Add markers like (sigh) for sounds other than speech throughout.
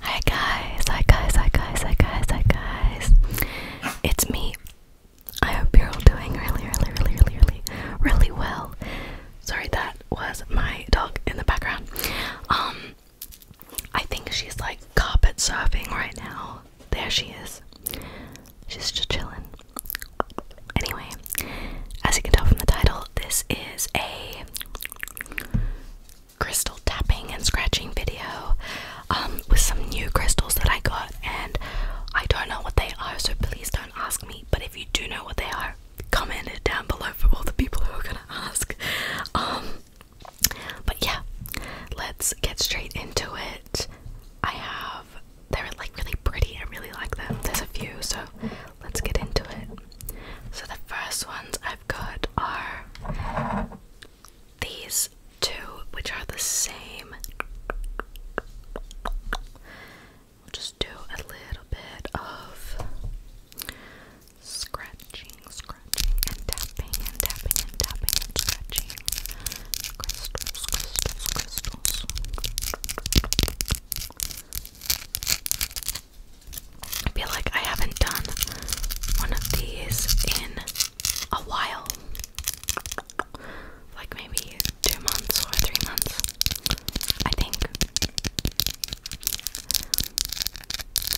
Hi guys, hi guys, hi guys, hi guys, hi guys. It's me. I hope you're all doing really, really, really, really, really, really well. Sorry, that was my dog in the background. Um, I think she's like carpet surfing right now. There she is. She's just chilling. Anyway, as you can tell from the title, this is a crystal tapping and scratching video um, with some new crystals that I got, and I don't know what they are, so please don't ask me. But if you do know what they are, comment it down below for all the people who are gonna ask. Um, but yeah, let's get straight into it. I have they're like really pretty. I really like them. There's a few, so let's get into it. So the first ones I've got are these two, which are the same. We'll just do a little bit of scratching, scratching, and tapping, and tapping, and tapping, scratching. Crystals, crystals, crystals. I feel like I haven't done one of these in a while. Like maybe two months or three months, I think.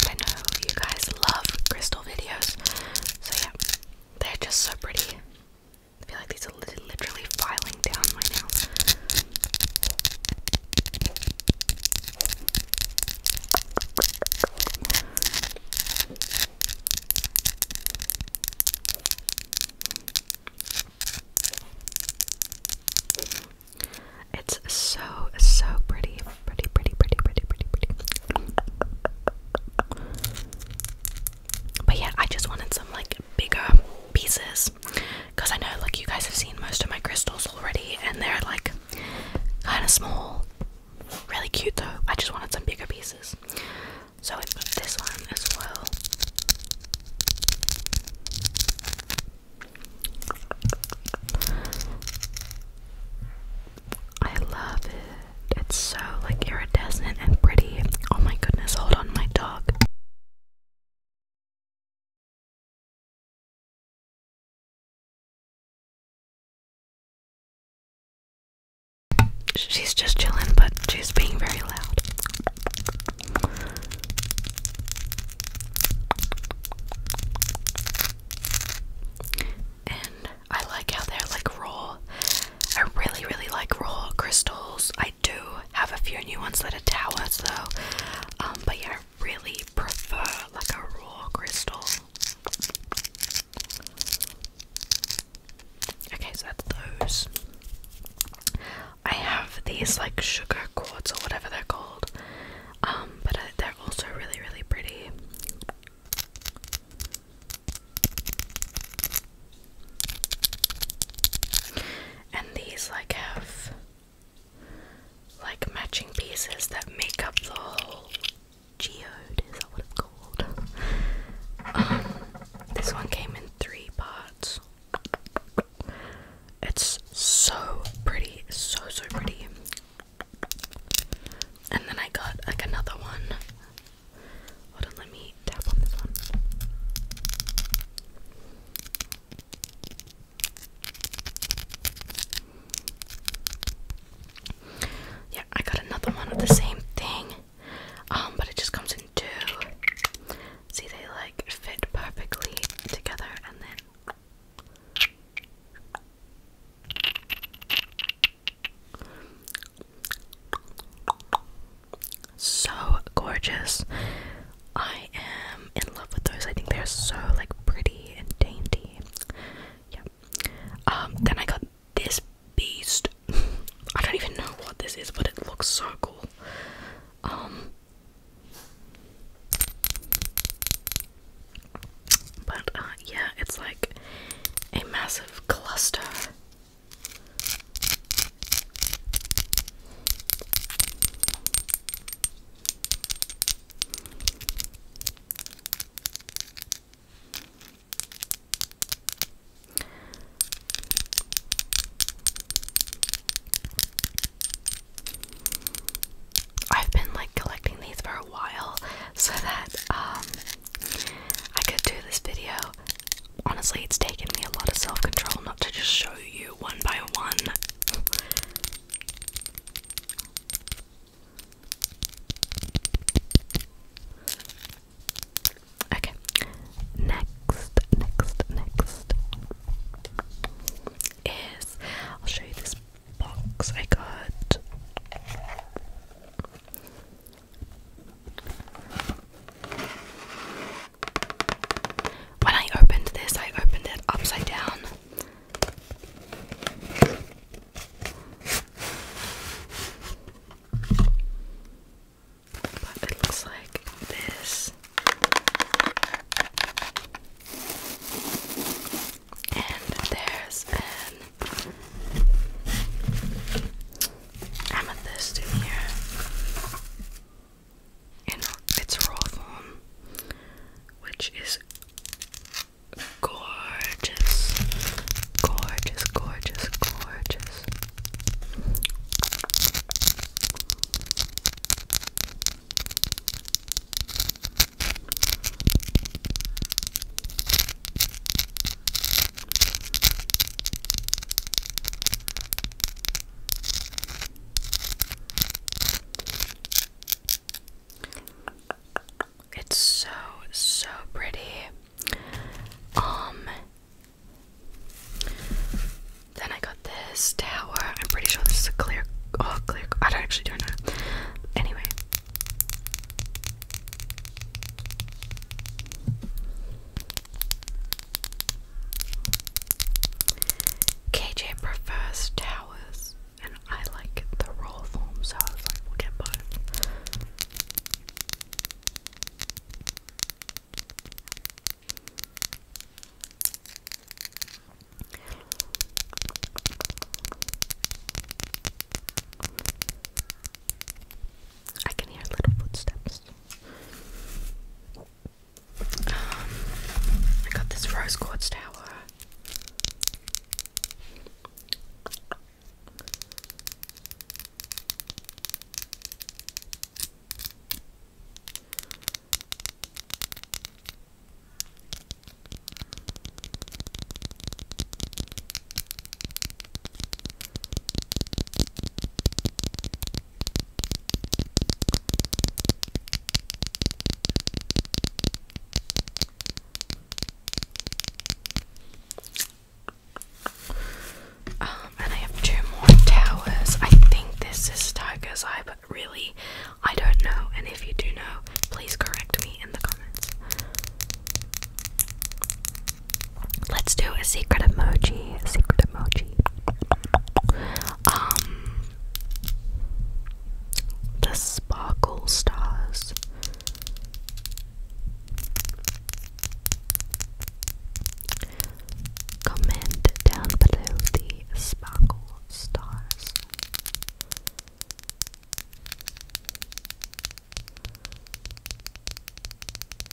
I know you guys love crystal videos, so yeah, they're just so pretty. I feel like these are literally filing down right now. It's so so pretty, pretty, pretty, pretty, pretty, pretty, pretty. But yeah, I just wanted some like bigger pieces because I know like you guys have seen most of my crystals already and they're like kind of small. Really cute though. I just wanted some bigger pieces. So I put this one as well. I love it. It's so like iridescent and pretty. Oh my goodness, hold on, my dog. She's just chilling, but she's being very loud. And I like how they're like raw. I really, really like raw crystals. I do have a few new ones that are towers though. Um, but yeah, really prefer like a raw crystal. Okay, so that's those. I have these like sugar quartz or whatever they're called. Um, but uh, they're also really, really pretty. And these like have like matching pieces that make up the whole geode, is that what it's called? Um, this one came in three parts. It's so pretty, so so pretty. And then I got like another one Hold on, let me tap on this one. Yeah, I got another one of the same thing. Um, but it just comes in two. See, they like fit perfectly together and then so gorgeous. I am in love with those. I think they're so like pretty and dainty. Yeah. Um, then I got this beast. (laughs) I don't even know what this is, but it looks so cool. Um But uh yeah, it's like a massive cluster I've been like collecting these for a while so that um I could do this video honestly, it's taken me a lot of self control not to just show you one by one. Okay, next, next, next is I'll show you this box I got. When I opened this, I opened it upside down. it looks like this. And there's an amethyst in here in its raw form, which is gorgeous, gorgeous, gorgeous, gorgeous. It's so so pretty. Um then I got this tower. I'm pretty sure this is a clear oh clear I don't actually don't know. Anyway. KJ prefers towers, and I like the raw form, so I was like, we'll get both. I can hear little footsteps. Um, I got this rose quartz tower. Um, and I have two more towers. I think this is Tiger's Eye, but really, I don't know. And if you do know, please correct me in the comments. Let's do a secret emoji. A secret emoji. Um, the sparkle stars. Comment down below the sparkle stars.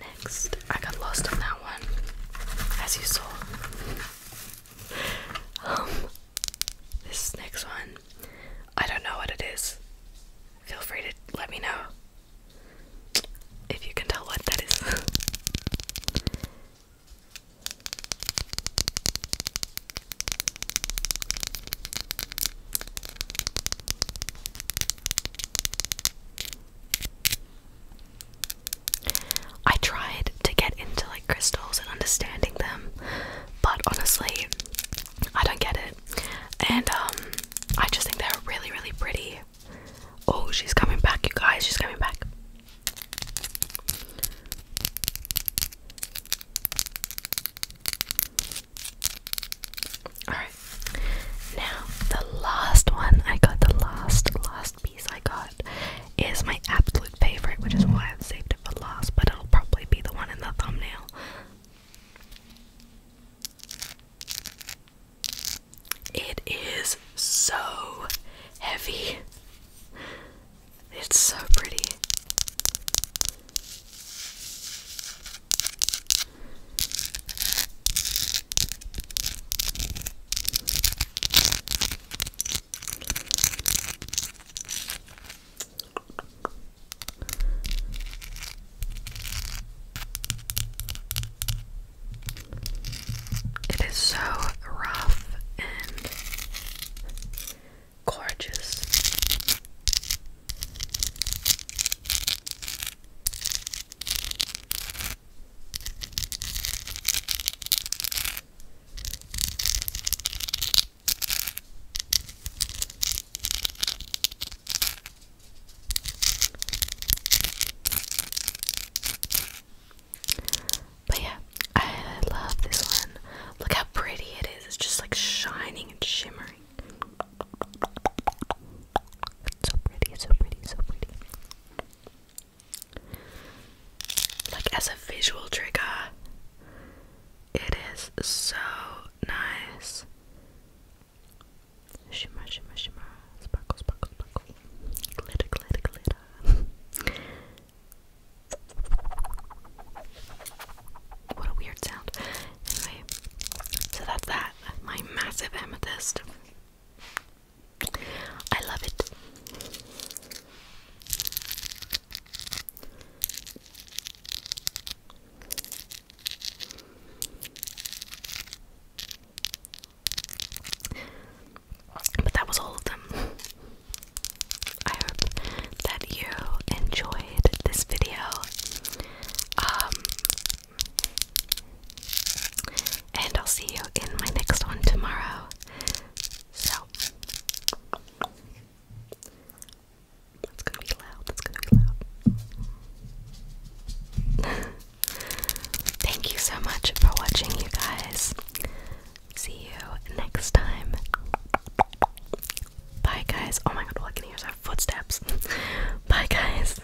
Next, I got lost on that one, as you saw. um, this next one, I don't know what it is. Feel free to let me know if you can tell what that is. I tried to get into like crystals and understanding them, but honestly, I don't get it. And um, I just think they're really, really pretty. Oh, she's coming back, you guys, she's coming back. Alright, now the last one. I got the last, last, piece I got is my absolute favorite, which is why I've saved it for last, but it'll probably be the one in the thumbnail. It is so heavy. It's so pretty. It is so rough and gorgeous. But yeah, I love this one. Look how pretty it is. It's just like shining and shimmering. so pretty, so pretty, so pretty. Like, as a visual trigger, it is so nice. Shimmer, shimmer, shimmer. Sparkle, sparkle, sparkle. Glitter, glitter, glitter. what a weird sound. so that's that. My massive amethyst. I love it. But that was all of them. I hope that you enjoyed this video. Um, and I'll see you in my next one tomorrow. So, that's gonna be loud, that's gonna be loud. (laughs) Thank you so much for watching, you guys. See you next time. Bye, guys. Oh my god, all can hear is footsteps. (laughs) Bye, guys.